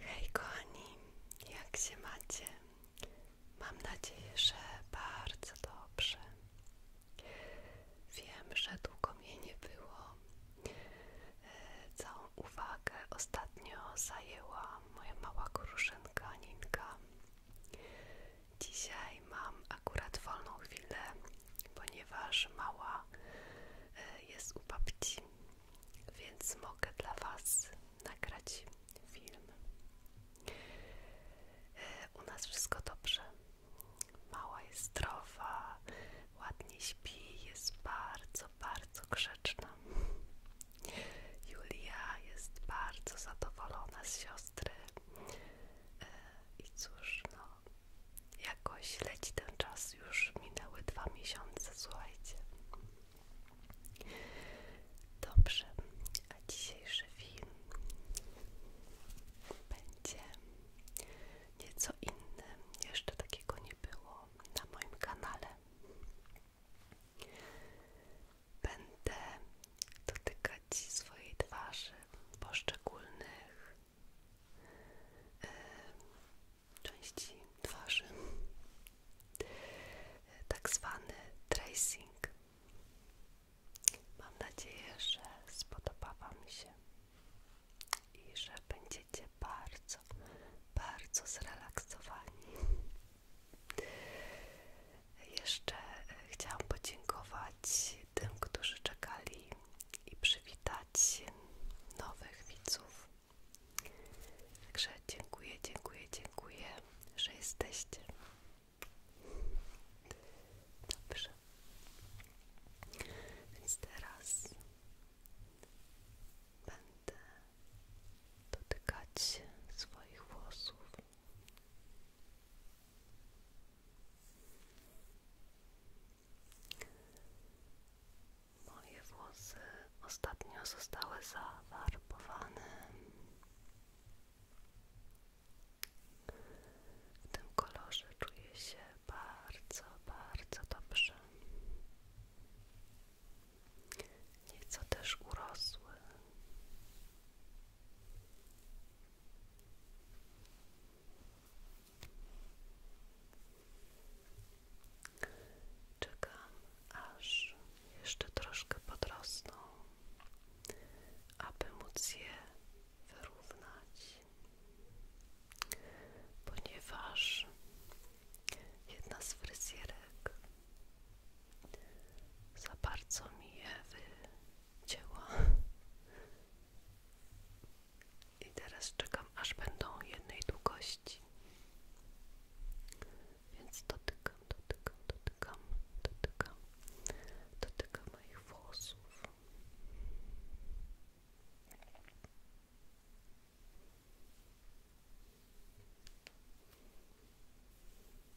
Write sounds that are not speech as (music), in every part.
Hej kochani, jak się macie? Mam nadzieję, że bardzo dobrze. Wiem, że długo mnie nie było. E, całą uwagę ostatnio zajęła moja mała kruszynka Ninka. Dzisiaj mam akurat wolną chwilę, ponieważ mała E, jest u babci, więc mogę dla Was nagrać film. E, u nas wszystko dobrze. Mała jest zdrowa, ładnie śpi, jest bardzo, bardzo grzeczna. Julia jest bardzo zadowolona z siostry. E, I cóż, no, jakoś leci ten czas, już minęły dwa miesiące, słuchajcie. Dobrze, a dzisiejszy film będzie nieco inny, jeszcze takiego nie było na moim kanale. Będę dotykać swojej twarzy poszczególnych części twarzy, tak zwany tracing. Mam nadzieję, że spodoba Wam się i że będziecie bardzo, bardzo zrelaksowani. Jeszcze e, chciałam podziękować tym, którzy czekali i przywitać nowych widzów. Także dziękuję, dziękuję, dziękuję, że jesteście. Dobrze. Więc teraz będę dotykać swoich włosów. Moje włosy ostatnio zostały zawarbowane w tym kolorze czuję się bardzo, bardzo dobrze. Nieco też urosły. Czekam, aż jeszcze troszkę podrosną, aby móc je wyrównać, ponieważ jedna z fryzjerek za bardzo mi je wycięła i teraz czekam, aż będą jednej długości. Więc dotykam, dotykam, dotykam, dotykam, dotykam moich włosów.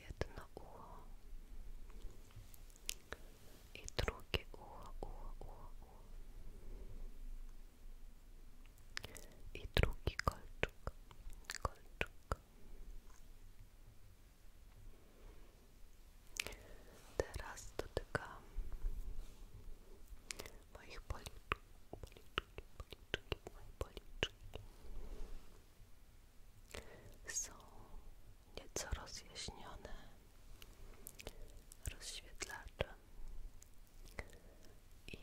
Jedno ucho i drugie ucho, ucho, ucho, I drugi kolczuk, kolczuk. Teraz dotykam moich policzków, policzki, policzki, moje policzki są nieco rozjaśnione rozświetlaczem i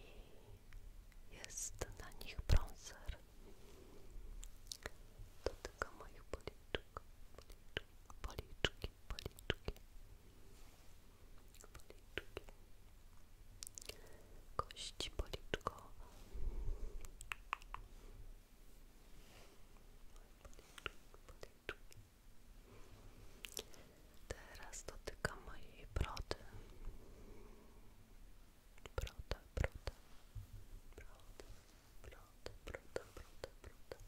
jest na nich brązer To tylko moich policzek, policzki, policzki, policzki kości policzkowe, Teraz dotykam mojej brody, broda, broda, broda, broda, broda, broda, broda.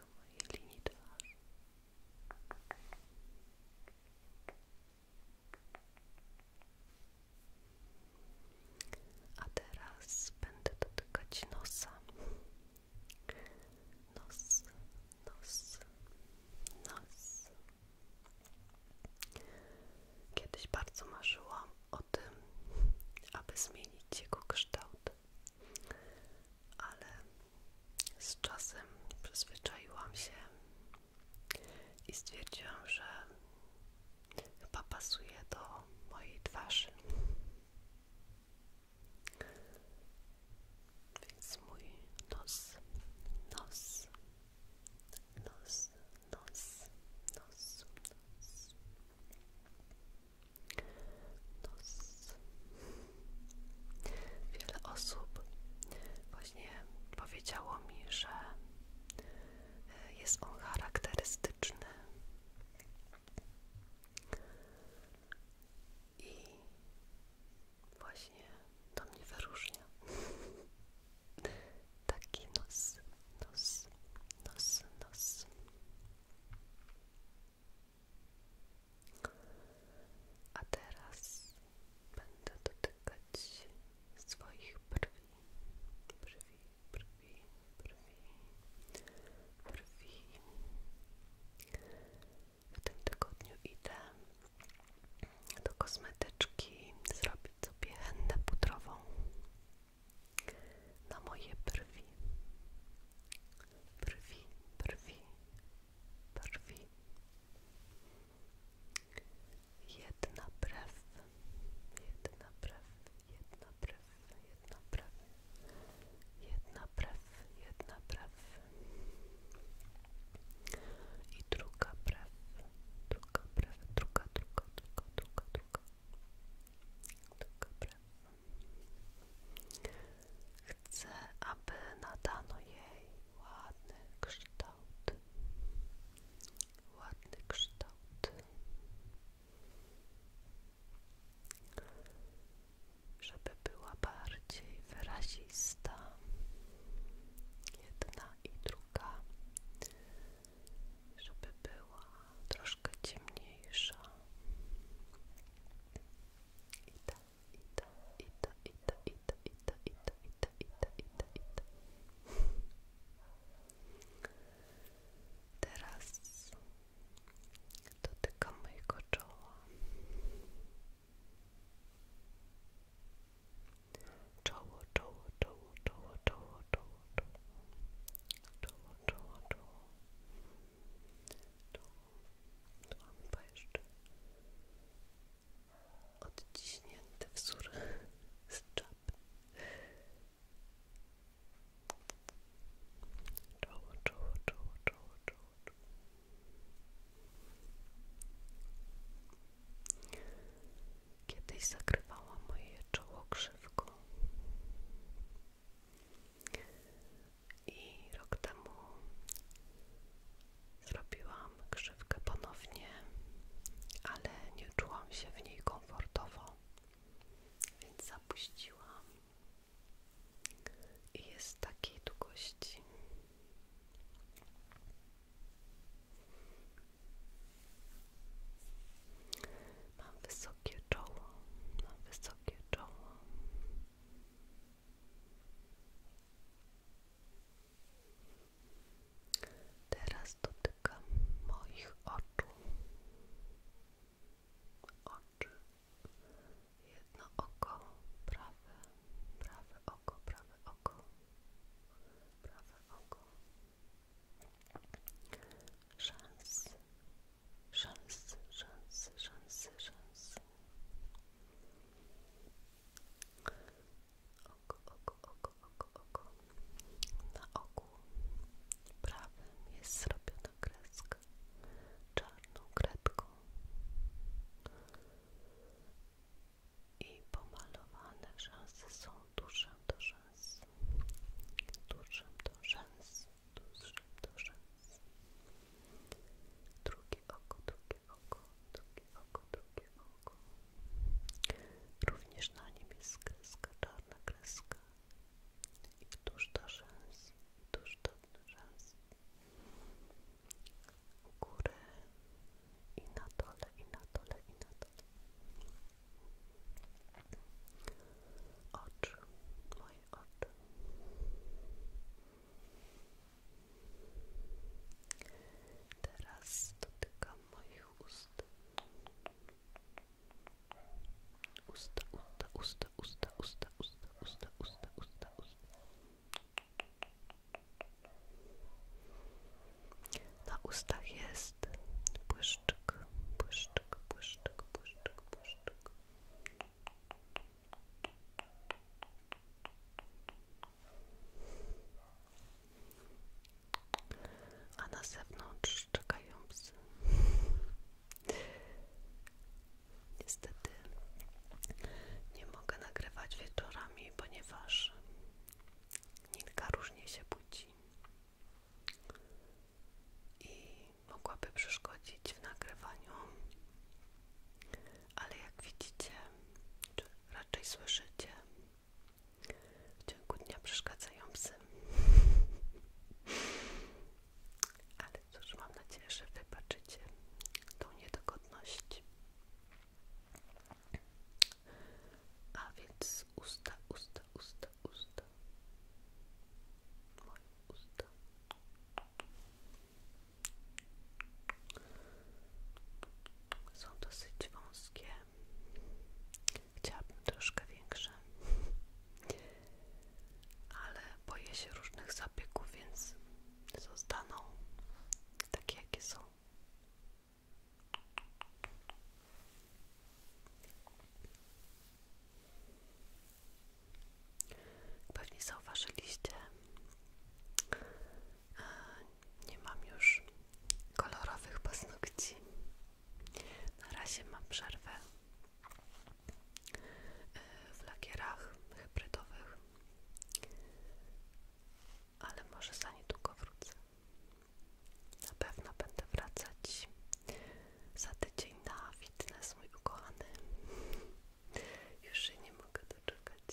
A teraz będę dotykać nosa. Nos, nos, nos. Kiedyś bardzo marzyłam o tym, aby zmienić jego kształt ale z czasem przyzwyczaiłam się i stwierdziłam, że chyba pasuje do mojej twarzy. Więc mój nos, nos, nos, nos, nos, nos, nos, Nos. Wiele osób właśnie powiedziało mi, że e, jest on charakterystyczny i właśnie to mnie wyróżnia. Taki nos, nos, nos, nos. A teraz będę dotykać swoich brwi. Brwi, brwi, brwi, brwi. W tym tygodniu idę do kosmetyczki zrobić sobie hennę pudrową na moje brwi, brwi, brwi, brwi. Jedna brew, jedna brew, jedna brew, jedna brew, jedna brew, jedna brew. I druga brew, druga brew, druga, druga, druga, druga, druga. Chcę, aby nadano jej ładny kształt. Ładny kształt. Żeby była bardziej wyrazista. Jedna i druga żeby była troszkę ciemniejsza. Ida, ida, ida, ida, ida, ida, ida, ida, ida, ida, ida. Teraz dotykam mojego czoła. Towo, towo, towo, towo, towo, towo, towo. Towo, towo, towo. Tu mamy chyba jeszcze odciśnięty wzór z czapy. Czoło, czoło, czoło, czoło, czoło, czoło. Kiedyś zakrywała moje czoło krzywką. I rok temu zrobiłam krzywkę ponownie, ale nie czułam się w niej komfortowo, więc zapuściłam. I jest takiej długości. Mam wysokie czoło, mam wysokie czoło. Teraz dotykam moich oczu. Oczy. Jedno oko, prawe, prawe oko, prawe oko, prawe oko, Szans, szans, szans, szans, szans. Oko, oko, oko, oko, oko. Na oku prawym jest zrobiona kreska czarną kredką i pomalowane rzęsy są duszem do rzęs, duszem do rzęs, duszem do rzęs. Drugie oko, drugie oko, drugie oko, drugie oko. Również na nim jest kreska, czarna kreska i tuż do rzęs, tuż do rzęs u inna i na dole, inna na dole, i na dole. Oczy, moje oczy. Teraz dotykam moich ust. Usta, usta, usta, usta, usta, usta, usta, usta, usta, usta. Na ustach jest błyszczyk, błyszczyk, błyszczyk, błyszczyk, błyszczyk. A na zewnątrz czekają Niestety nie mogę nagrywać wieczorami, ponieważ Ninka różnie się budzi i mogłaby przeszkodzić w nagrywaniu, ale jak widzicie, czy raczej słyszycie, w ciągu dnia przeszkadzają psy. Ale cóż, mam nadzieję, że wybaczycie tą niedogodność. A więc usta, usta, usta, usta. Moje usta. Są dosyć wąskie. Chciałabym troszkę większe. Ale boję się różnych zapieków, więc zostaną takie, jakie są. Pewnie zauważyliście, e, nie mam już kolorowych paznokci. Na razie mam przerwę e, w lakierach hybrydowych ale może za niedługo wrócę. Na pewno będę wracać za tydzień na fitness, mój ukochany. Już się nie mogę doczekać.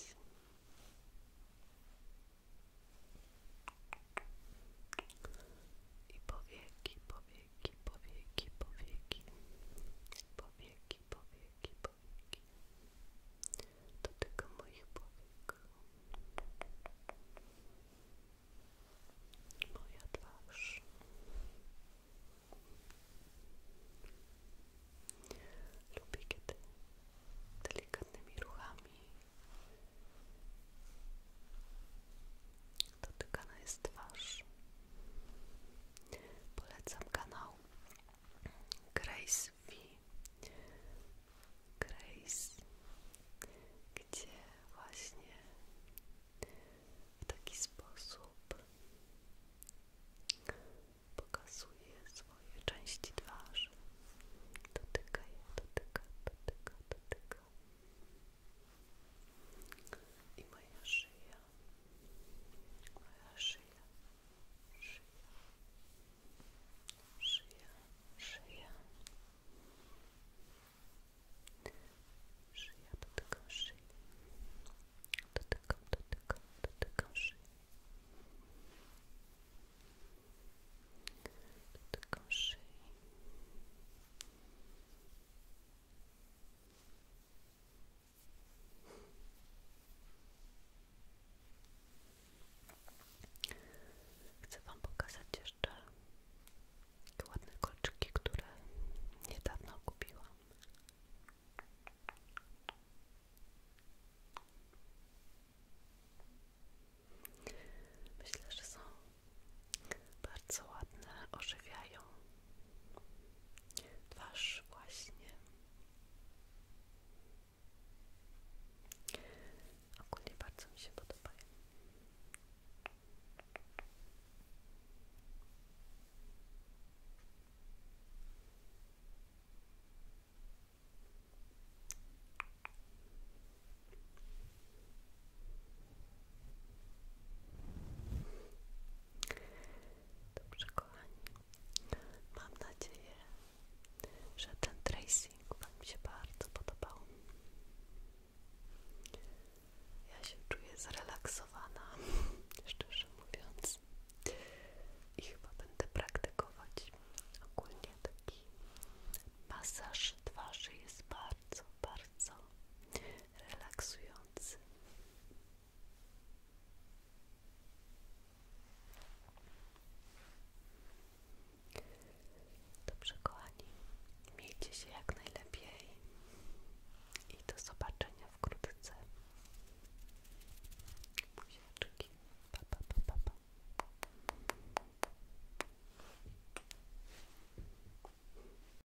I powieki, powieki, powieki, powieki, powieki, powieki, powieki, powieki. Dotyka moich powiek. Moja twarz. Lubię, kiedy delikatnymi ruchami dotykana jest twarz. Polecam kanał Grace V. Grace, gdzie właśnie w taki sposób pokazuje swoje części twarzy. Dotyka je, dotyka, dotyka, dotyka. I moja szyja моя шея, шея, шея, шея, шея, дотыком шеи, дотыком, дотыком, дотыком шеи, дотыком шеи. Шея, Chcę Wam pokazać jeszcze te ładne kolczyki, które niedawno kupiłam. Myślę, że są bardzo ładne, ożywiają twarz właśnie. Ogólnie bardzo mi się podobają. Dobrze kochani, mam nadzieję, że ten tracing Wam się bardzo podobał. Ja się czuję zrelaksowana, (laughs) szczerze mówiąc. I chyba będę praktykować ogólnie taki masaż twarzy jest bardzo, bardzo relaksujący. Dobrze, kochani, miejcie się jak najlepiej i do zobaczenia w Buziaczki. Pa, pa, pa, pa,